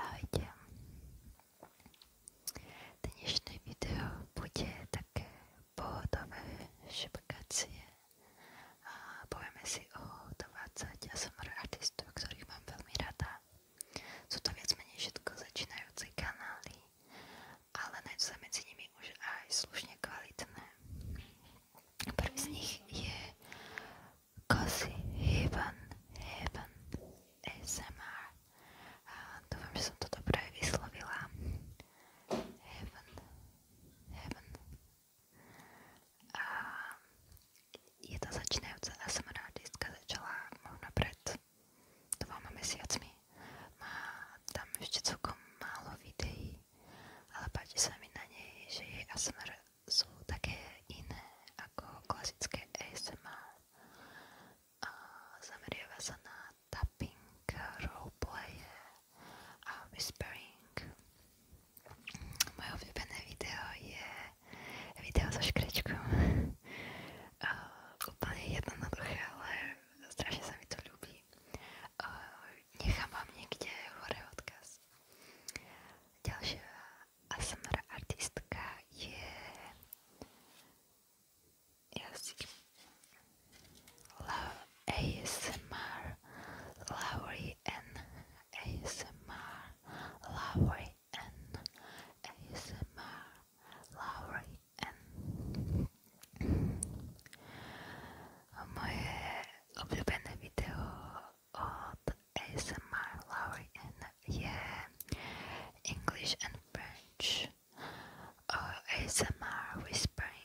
Ahojte. Dnešné video bude také pohodové šepkacie a povieme si o 20 ASMR artistov, ktorých mám veľmi rada. Sú to viac menej všetko začínajúce kanály, ale nájdú sa medzi nimi už aj slušne kvalitné. Prvý z nich je Cozy Heaven, Heaven ASMR. A dúfam, že som to dobre vyslovila. Heaven, Heaven a je tá začínajúca ASMR artistka začala možno pred dvoma mesiacmi. Má tam ešte celkom málo videí, ale páči sa mi na nej, že jej ASMR sú také iné ako klasické ASMR. A zameriava sa na tapping, roleplaye, a whispering. Moje obľúbené video je video so škrečkom. Úplne jednoduché, ale strašne sa mi to ľúbi. Nechám vám niekde hore odkaz. Ďalšia ASMR artistka je jazyk. Love ASMR Laurie an ASMR Lowry and ASMR Lowry and moje ulubione wideo od ASMR Lowry and je English and French ASMR Whispering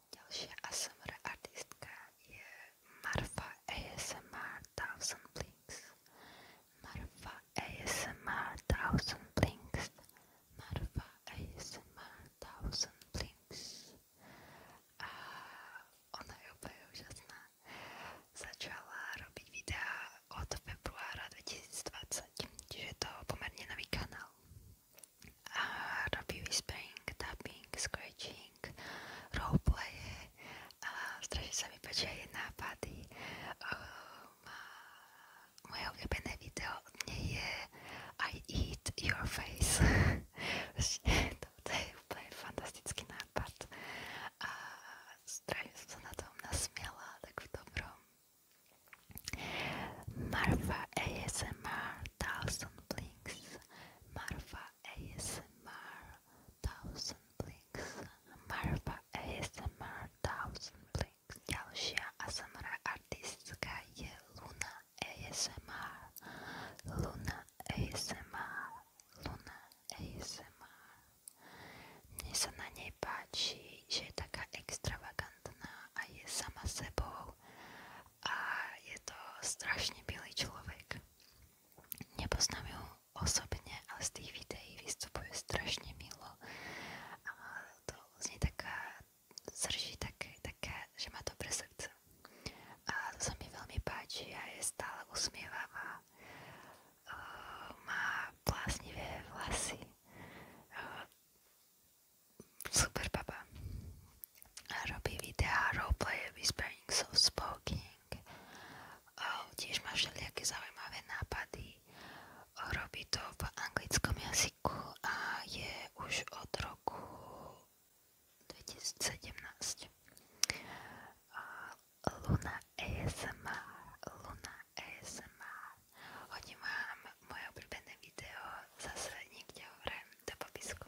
Ďalšia ASMR artistka je Marfa ASMR Thousand Blinks. Marfa ASMR Thousand Blinks. Marfa ASMR Thousand Blinks. A ona je úplne úžasná. Začala robiť videá od februára 2020, čiže je to pomerne nový kanál a robí whispering, tapping, scratching, roleplaye a strašne sa mi páčia jej nápady. Um, moje obľúbené video od nej je I eat your face. to, to je úplne fantastický nápad. A strašne som sa na tom nasmiala, tak v dobrom. Marfa ASMR thousand blinks, Marfa ASMR thousand blinks, Marfa ASMR thousand blinks. Ďalšia ASMR Luna ASMR, Luna ASMR, Luna ASMR. Mne sa je taká extravagantná a je sama sebou a je to strašne milý človek. Nepoznám ju osobne, ale z tých videí vystupuje strašne milo a to z nej taká srží také, také, že má dobre srdce. A to sa mi veľmi páči a je stále usmievavá. Eh, má bláznivé vlasy. Eh, Super baba. Robí videá roleplay Whispering Soft Spoking. Oh, tiež má všelijaké zaujímavé nápady. Oh, robí to v anglickom jazyku a je už od roku 2017. Uh, Luna ASMR. Luna ASMR. Hodím vám moje obľúbené video zase niekde hore do popisku.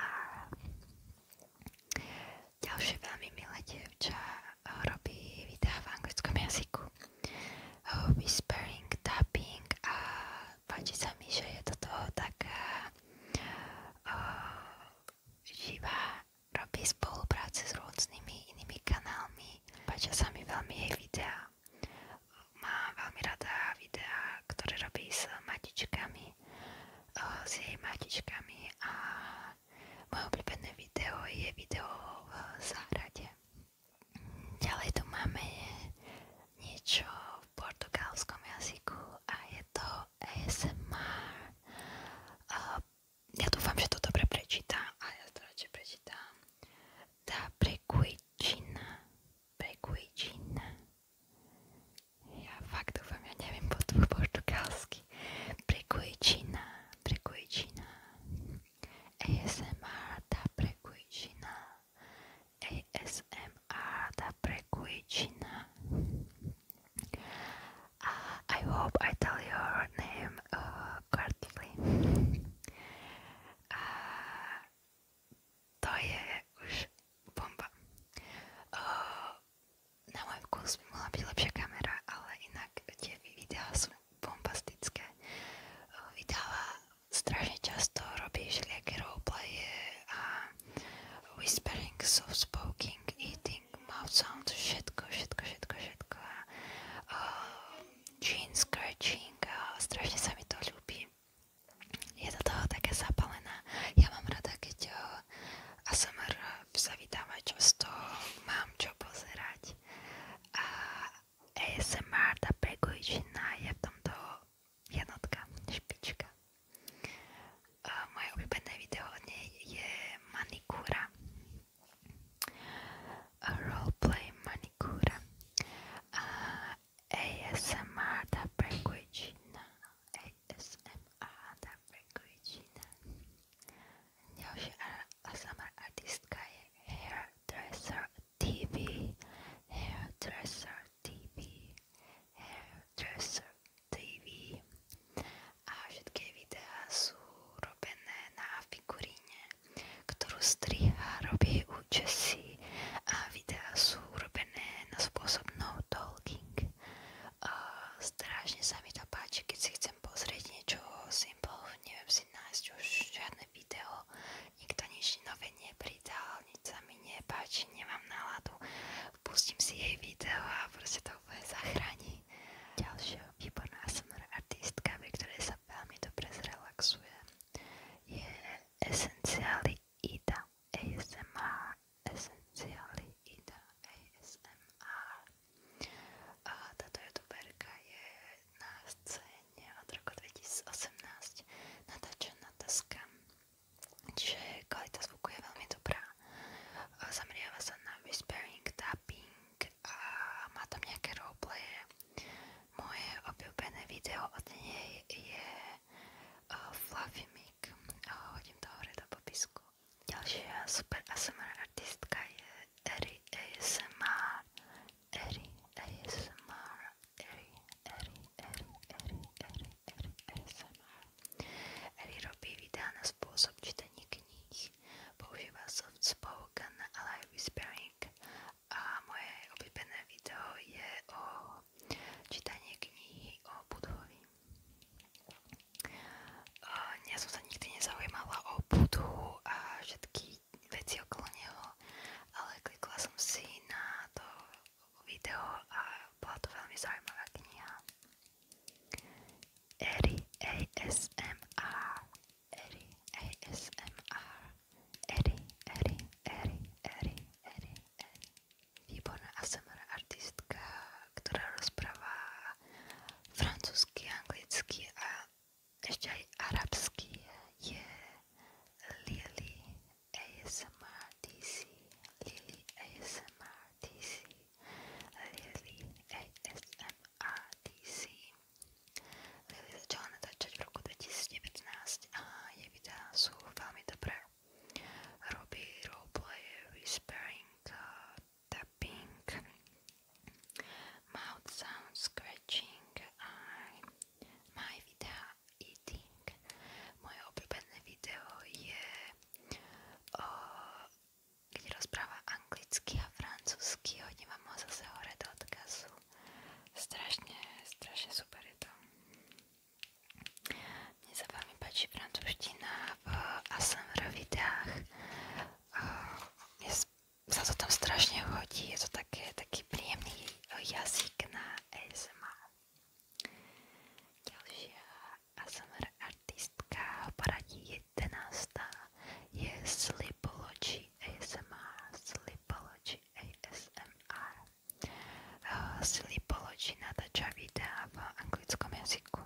A ďalšie veľmi milé dievča robí videá v anglickom jazyku. Whispering, tapping a páči sa mi, že je toto taká uh, eh, eh, živá, robí spolupráce s rôznymi inými kanálmi. Páčia sa mi veľmi jej videá. Mám veľmi rada videá, ktoré robí s matičkami, uh, s jej matičkami a moje obľúbené video je video v záhrade. Ďalej tu máme niečo v portugalskom jazyku a je to ASMR. Uh, ja dúfam, že to dobre prečítam a ja to radšej prečítam. Tá prequičina, prequičina, ja fakt dúfam, ja neviem po portugalsky. Prekujčina, prekujčina. ASMR da prekujčina. ASMR da prekujčina. Uh, I hope I tell your name uh, correctly. Uh, to je už bomba. Uh, na môj vkus by mohla byť lepšia kamera, ale inak tie videá sú bombastické. Vydáva často, robí všelijaké roleplaye a whispering, soft spoking, eating, mouth sounds, všetko, všetko, všetko, všetko. A, scratching a strašne sa mi to ľúbi. Je do toho taká zapalená. Ja mám rada, keď ASMR sa vydáva často, mám čo pozerať a ASMR, tá prekojčina je v tomto jednotka, špička. A moje obľúbené video od nej je manikúra. Roleplay manikúra. A ASMR, tá prekojčina. ASMR, tá prekojčina. Ďalšia ASMR artistka je Hairdresser TV. Hairdresser TV. Hairdresser TV. A všetky videá sú robené na figuríne, ktorú striha, robí účesy a videá sú urobené na spôsob no talking. Uh, strašne sa mi to páči, keď si chcem pozrieť niečo simple, neviem si nájsť už žiadne video, nikto nič nové nepridal, nič sa mi nepáči, nemám náladu, pustím si jej video a proste to úplne zachráni. Ďalšia výborná ASMR artistka, pri ktorej sa veľmi dobre zrelaxuje, je Esenciály Ida ASMR Esenciály Ida A táto youtuberka je na scéne od roku 2018 natáčaná taskam, čiže kvalita zvuku je veľmi dobrá. Zameriava sa na whispering, tapping a má tam nejaké roleplaye. Moje obľúbené video od nej je e, Fluffy Mic. Hodím to hore do popisku. Ďalšia super ASMR artistka je Eri ASMR. Eri ASMR. Eri, Eri, Eri, Eri, Eri, Eri ASMR. Eri robí videá na spôsob čítania kníh. Používa soft spoken, ale aj whispering. A moje obľúbené video je o čítanie knihy o Budhovi. Ja som sa nikdy nezaujímala o Budhu a všetky veci okolo neho, ale klikla som si na to video a bola to veľmi zaujímavá kniha. Eri ASMR Eri ASMR Eri, Eri, Eri, Eri, Eri, Eri výborná ASMR artistka, ktorá rozpráva francúzsky, anglicky a ešte aj arabský je Lily ASMR DC, Lily ASMR DC, Lily ASMR DC. Lily začala natáčať v roku 2019 a jej videá sú veľmi dobré. Robí roleplay, whispering, uh, tapping, mouth sound scratching a my videa eating. Moje obľúbené video je o, kde rozpráva anglicky a francúzsky, hodím vám ho zase hore do odkazu. Strašne, strašne super je to. Mne sa mi páči francúzština eh, v ASMR videách. Eh, je, sa to tam strašne hodí, je to také, taký príjemný eh, jazyk na ASMR. Ďalšia ASMR artistka poradí 11. je Slipology ASMR. Slipology ASMR. Slipology natáča videá v anglickom jazyku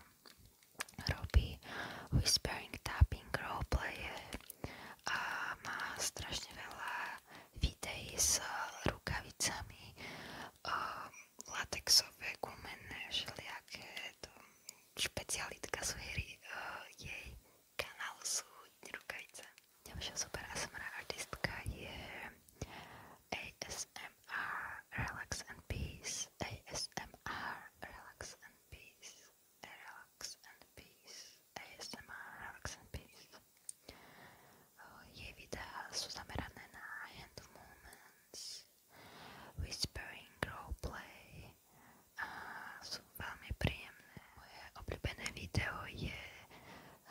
robí whispering, tapping, roleplay a má strašne veľa videí s rukavicami um, latexové, gumenné, všelijaké to špecialitka sú hry, uh, jej kanál sú rukavice. Ďalšia super ASMR artistka je ASMR ASMR, relax and peace. ASMR, relax and peace. Relax and peace. ASMR, relax and peace. Je videa sú zamerané na hand movements, whispering, roleplay a ah, sú veľmi príjemné. Moje obľúbené video je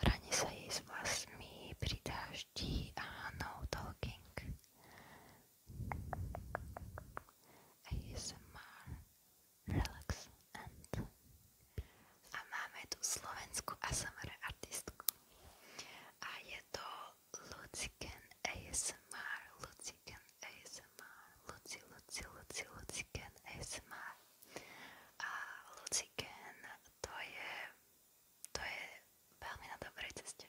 Raní sa jej s vlasmi pri dáždi a no talking. ASMR Relax and a máme tu slovenskú ASMR artistku a je to Luciken ASMR Luciken ASMR Luci, Luci, Luci, Luciken ASMR a Luciken to je to je veľmi na dobrej ceste.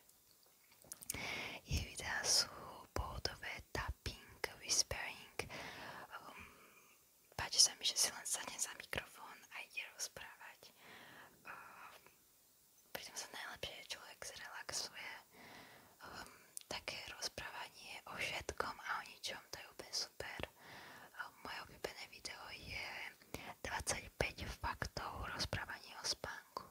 Jej videá sú pohodové, tapping, whispering. Um, páči sa mi, si len za mikrofón a ide rozprávať. Um, pritom sa najlepšie človek zrelaxuje. Um, také rozprávanie o všetkom a o ničom, to je úplne super. Um, moje obľúbené video je 25 faktov rozprávanie o spánku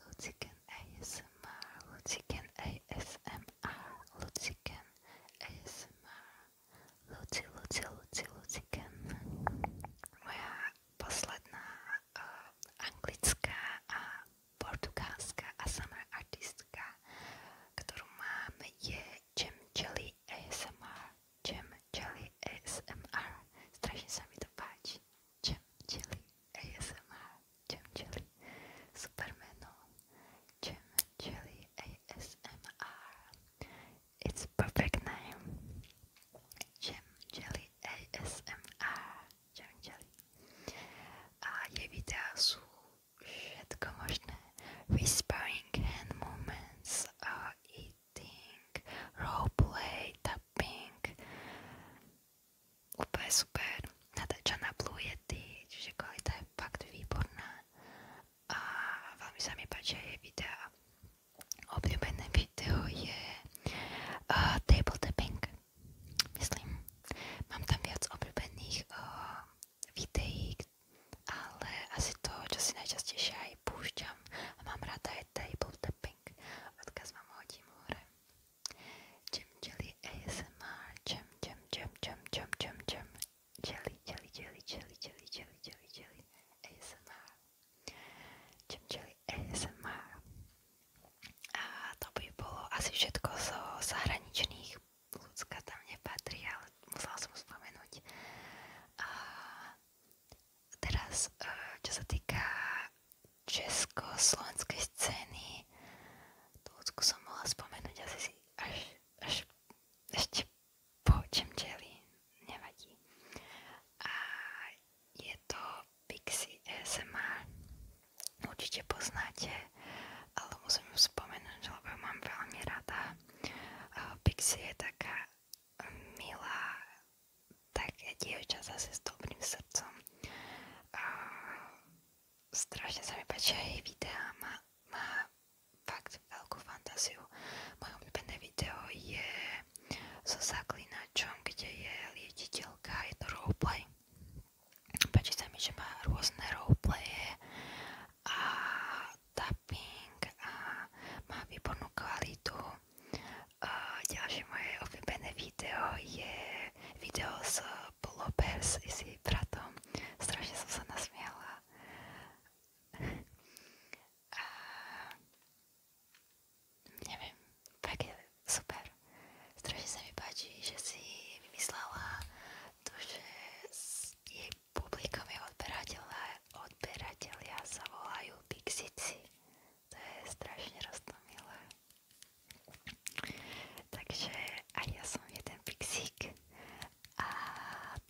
Lucican ASMR, Lucican ASMR, Lucican ASMR, Luci, Luci, Luci, Lucican. Moja posledná uh, anglická a portugalská ASMR artistka, ktorú mám, je Jam Jelly ASMR. Jam Jelly ASMR. Strašne sa mi to páči. Jim Chili ASMR, Jim Chili Supermenu, Jim Chili ASMR. It's perfect name. Jim Chili ASMR, Jim Chili. A je videa sú všetko možné. Whispering hand movements, uh, eating, roleplay, tapping, Úplne super. Natáčaná Blue Yeti, čiže kvalita je fakt výborná. A veľmi sa mi páčia jej videá. Obľúbené video je uh, Table Tapping. Myslím, mám tam viac obľúbených uh, videí, ale asi to, čo si najčastejšie aj púšťam a mám rada je Table Tapping. Odkaz vám hodím hore. Jam Jelly ASMR Jam Jam Jam Jam Jam Jam Jam Jelly Jelly Jelly Jelly Jelly Jelly Jelly Jelly ASMR Jam Jelly ASMR A to by bolo asi všetko zo zahraničných ľudská tam nepatrí, ale musela som spomenúť. A teraz, e, čo sa týka československej scény. Tú ľudskú som mohla spomenúť asi až, až ešte po Čemčeli, nevadí. A je to Pixie SMA určite poznáte, ale musím ju spomenúť, lebo mám veľmi rada. Pixie je taká milá, také dievča zase s dobrým srdcom a strašne sa mi páčia jej videá, má, fakt veľkú fantáziu. Moje obľúbené video je so zaklinačom, kde je liečiteľka, je to roleplay. Páči sa mi, že má rôzne roleplaye a tapping a má výbornú kvalitu. A ďalšie moje obľúbené video je video s Blopers i s jej bratom. Strašne som sa nasmiala. A... Neviem, tak je super. Strašne sa mi páči, že si vymyslela to, že jej publikom je odberateľa, odberatelia sa volajú Pixici. To je strašne roztomilé. Takže aj ja som jeden pixík a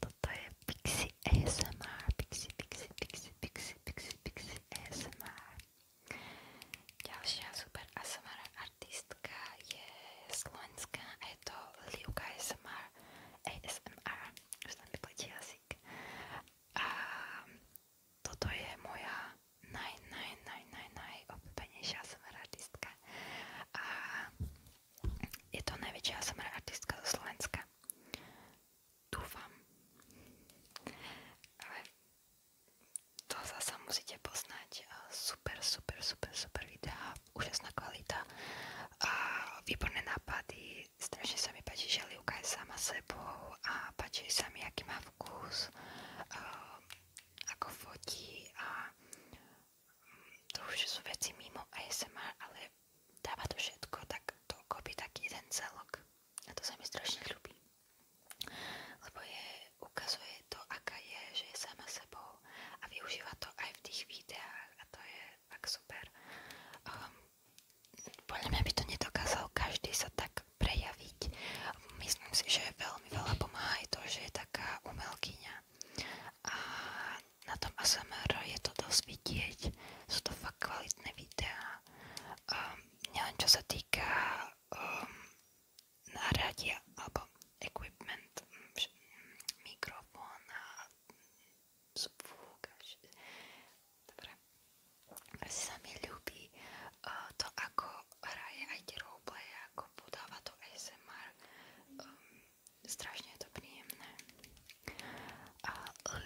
toto je pixi ASMR, pixi, pixi, pixi, pixi, pixi, pixi ASMR. Ďalšia super ASMR artistka je slovenská a je to Livka ASMR, ASMR, už tam vykletí jazyk. A toto je moja naj, naj, naj, naj, najobľúbenejšia ASMR artistka a je to najväčšia ASMR artistka zo Slovenska. Dúfam. Ale to zasa musíte poznať. Super, super, super, super videá, úžasná kvalita a výborné nápady. Strašne sa mi páči, že Livka je sama sebou a páči sa mi, aký má vkus ako fotí a mm, to už sú veci mimo ASMR, ale dáva to všetko tak to kopí tak jeden celok a to sa mi strašne lebo je, ukazuje to aká je, že je sama sebou a využíva to aj v tých videách a to je tak super um, podľa mňa by to nedokázal každý sa tak prejaviť. Myslím si, že veľmi veľa pomáha aj to, že je taká umelkyňa. A na tom ASMR je to dosť vidieť. Sú to fakt kvalitné videá. Um, nielen čo sa týka um, náradia alebo equipment, mikrofón a zvuk. Dobre. Asi sa mi ľúbi uh, to, ako hraje aj tie roleplaye, ako podáva to ASMR. Um, ehm, strašne je to príjemné. A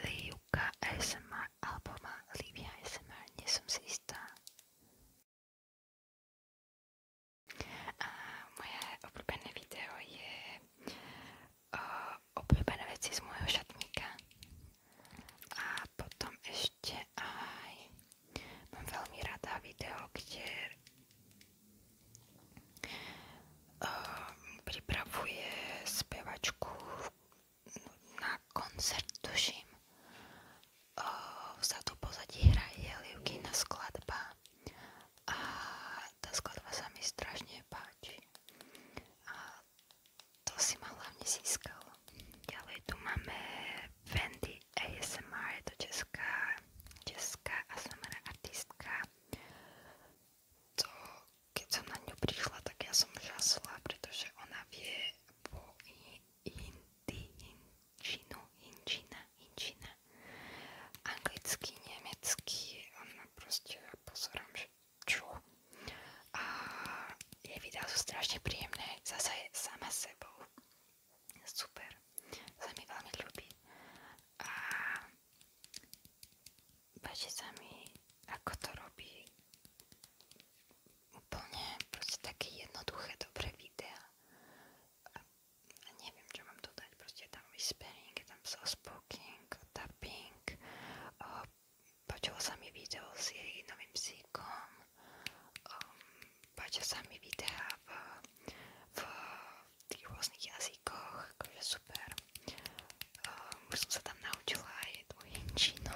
Liuka ASMR, alebo má Livia ASMR, nie som si istá. A moje obľúbené video je uh, obľúbené veci z môjho šatníka. A potom ešte ešte aj mám veľmi rada video, kde uh, pripravuje spevačku na koncert, tuším. Uh, ehm, vzadu pozadí hraje Liukina skladba a tá skladba sa mi strašne páči. A to si ma hlavne získalo. Ďalej tu máme Wendy ASMR, je to česká, česká ASMR artistka. To, keď som na ňu prišla, tak ja som žasla, pretože ona vie po hindi, hinčinu, hinčina, hinčina, anglicky, nemecky, ona proste pozorám, že čo. A jej videá sú strašne príjemné, zase sama sebou. Super, sa mi veľmi ľúbi a páči sa mi, ako to robí úplne proste také jednoduché, dobré videá. A, a neviem, čo mám dodať, proste je tam whispering, je tam soft spoking, tapping. O, počulo sa mi video s jej novým psíkom, um, páčia sa mi videá v, v tých rôznych jazykoch, akože super. Um, už som sa tam naučila aj tú hinčinu,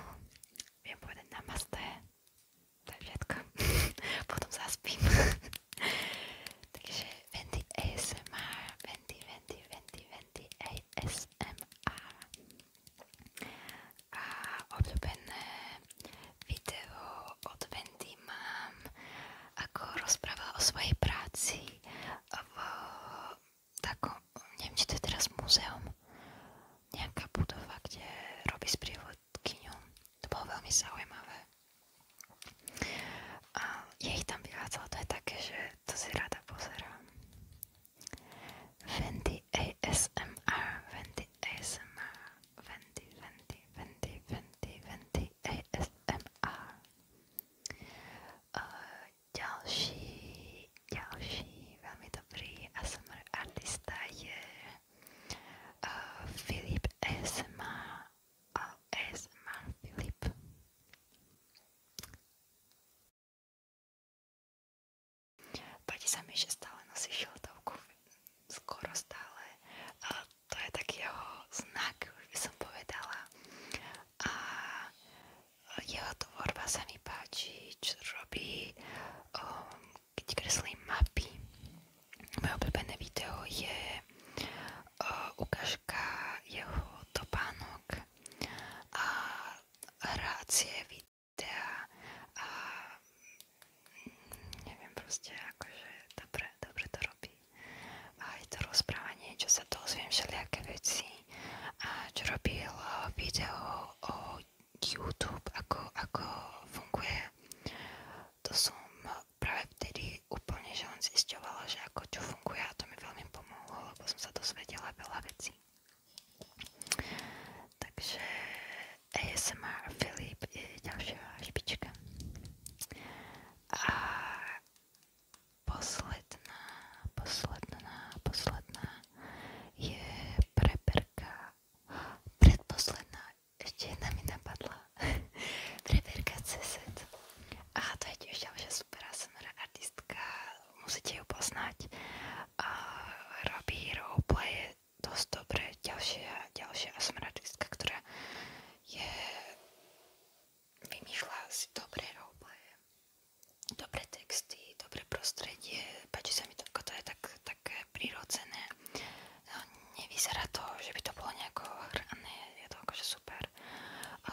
viem povedať namaste, to je všetko, potom zaspím. Takže Vendy ASMR, Vendy, Vendy, Vendy, Vendy ASMR a obľúbené video od Wendy mám, ako rozprávala o svojej práci v takom, neviem či to je teraz múzeum, nejaká budova, kde robí sprievodkyňu. To bolo veľmi zaujímavé. A je ich tam viac, ale to je také, že to si rada pozerám. Wendy ASMR, Wendy ASMR. Venti, Venti, Venti, Venti, Venti ASMR. Další, ASMR artista je uh, Filip ASMR a Páči sa mi, že stále nosí šiltovku, skoro stále. A to je taký jeho znak, už by som povedala. A jeho tvorba sa mi páči, čo robí, um, keď kreslí mapy. Moje obľúbené video je uh, ukážka jeho topánok a hrácie videa teda, a mm, neviem proste akože dobre, dobre to robí a aj to rozprávanie, čo sa dozviem všelijaké veci a čo robil video o YouTube, ako, ako funguje to som práve vtedy úplne že len zisťovala, že ako čo funguje a to mi veľmi pomohlo, lebo som sa dozvedela veľa vecí takže ASMR Filip je ďalšia špička. A posledná, posledná, posledná je preberka. Predposledná, ešte jedna mi napadla. preberka CZ. A to je tiež ďalšia super ASMR artistka, musíte ju poznať. A robí roleplaye dosť dobre. Ďalšia, ďalšia asmaratistka, ktorá je vymýšľa si dobré roleplaye, dobré texty, dobré prostredie, páči sa mi to, to je tak, také prirodzené. No, nevyzerá to, že by to bolo nejako hrané, je to akože super.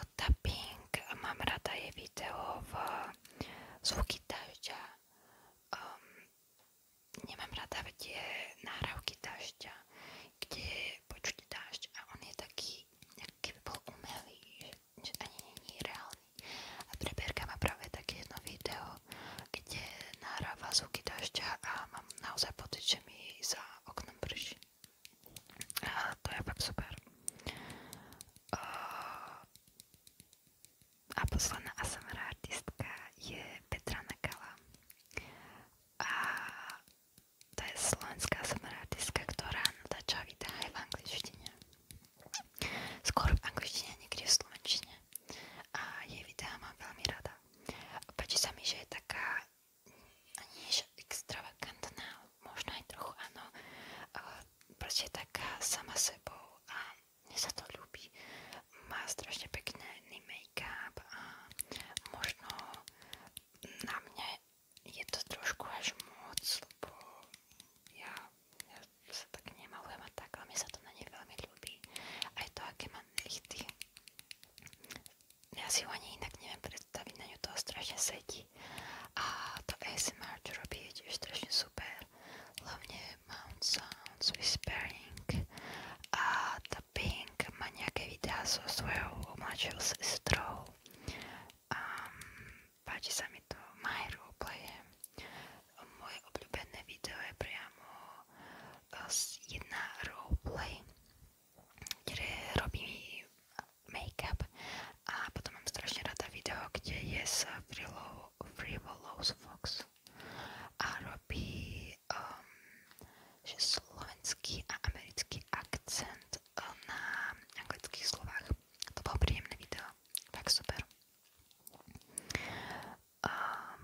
O, tapping, mám rada je video v zvuky dažďa. Um, ehm, nemám rada tie náhravky dažďa, kde počuť dážď a on je taký, keby bol umelý, že ani není reálny. A preberka má práve také jedno video, kde nahráva zvuky dažďa a mám naozaj pocit, že mi za oknom prší. A to je fakt super. Uh, a posledná ASMR artistka je Petra Nakala a to je slovenská ASMR artistka, ktorá natáča videá aj v angličtine skôr v angličtine, niekde v slovenčine a jej videá mám veľmi rada páči sa mi, že je taká nie je extravagantná možno aj trochu áno proste taká sama sebou a mne sa to ľúbi. Má strašne pekný make-up a možno na mne je to trošku až moc, lebo ja, ja sa tak nemalujem a tak, ale mne sa to na nej veľmi ľúbi. Aj to, aké má nechty. Ja si ho ani inak neviem predstaviť, na ňu toho strašne sedí. A to ASMR, čo robí, je tiež strašne super. Hlavne mount sounds whispering a dubbing má nejaké videá so svojou mladšou sestrou a to Majeru Playe moje obľúbené video je priamo e, jedna roleplay kde robí a potom mám strašne rada video, kde je s frilou Frivolous Fox a robí um, že slovenský a americký akcent um, na anglických slovách. To bolo príjemné video, tak super. Um,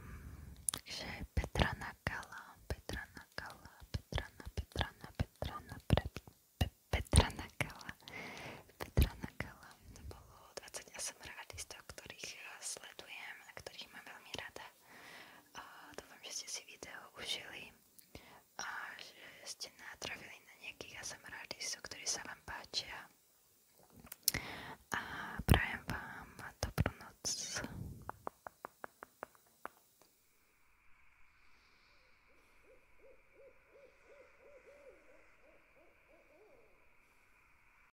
takže Petra Nakala, Petra Nakala, Petra na Petra na Petra na pre, pe, Petra Nakala, Petra Nakala, to bolo 28 realistov, ktorých eh, sledujem a ktorých mám veľmi rada. A dúfam, že ste si video užili a že ste natrafili na nejakých ASMR artistov, ktorí sa vám páčia. A prajem vám dobrú noc.